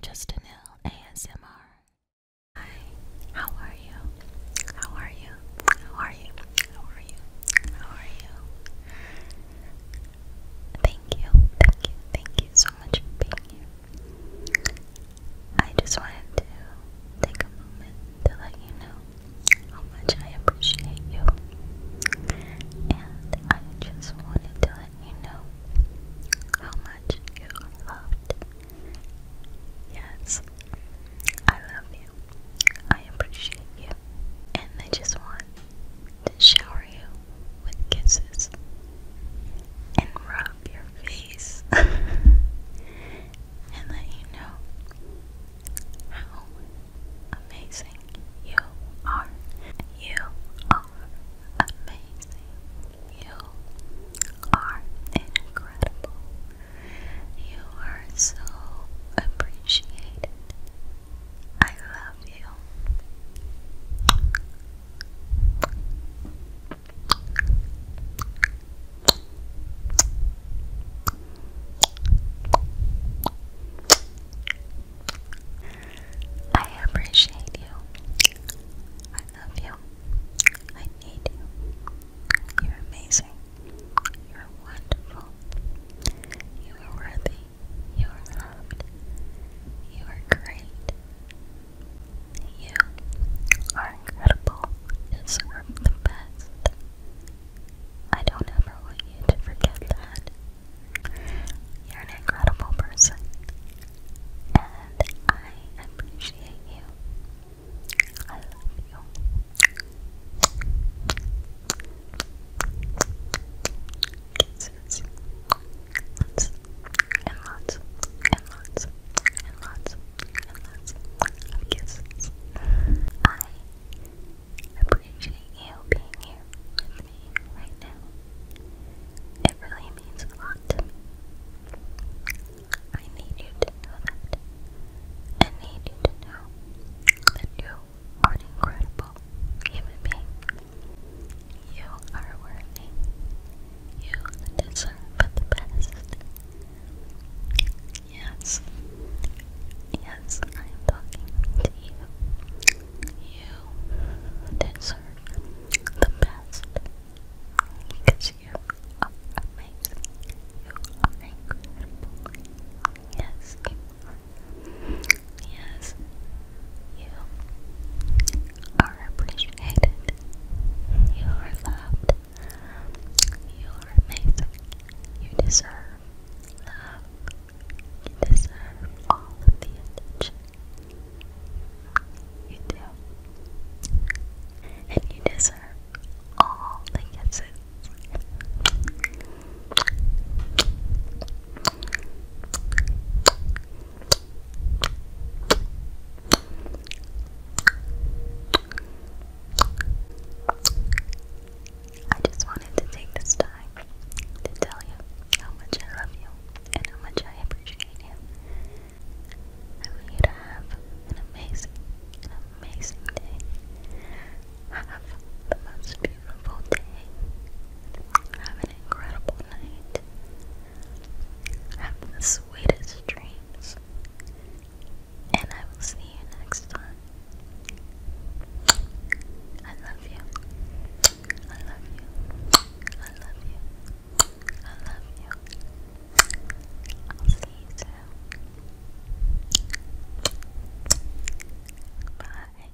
Justin Hill ASMR. Hi, how are you? How are you? How are you? How are you? How are you? Thank you, thank you, thank you so much for being here. I just wanted to take a moment to let you know how much I appreciate you. And I just wanted to let you know how you loved. Yes, I love you. I appreciate you. And I just want to shower you with kisses and rub your face and let you know how amazing you are. You are amazing. You are incredible. You are so appreciated. I love you. I appreciate you. I love you. I need you. You're amazing. You're wonderful. You are worthy. You are loved. You are great. You are incredible. Deserve the best. I don't ever want you to forget that. You're an incredible person, and I appreciate you. I love you. and lots and lots and lots and lots of kisses. I appreciate appreciate you being here with me right now. It really means a lot to me. I need you to know that. I need you to know that you are incredible human being. You are worthy. You deserve the best. Yes. Yes, I am talking to you. You deserve the best because you are amazing. You are incredible. Yes, Yes, you are appreciated. You are loved. You are amazing. You deserve love. You deserve all of the attention. You do. And you deserve all the kisses. I just wanted to take this time to tell you how much I love you and how much I appreciate you. I want you to have an amazing, amazing day. Have the most beautiful day. Have an incredible night. Have the sweetest dreams. And I will see you next time. I love you. I love you. I love you. I love you. I'll see you soon. Bye.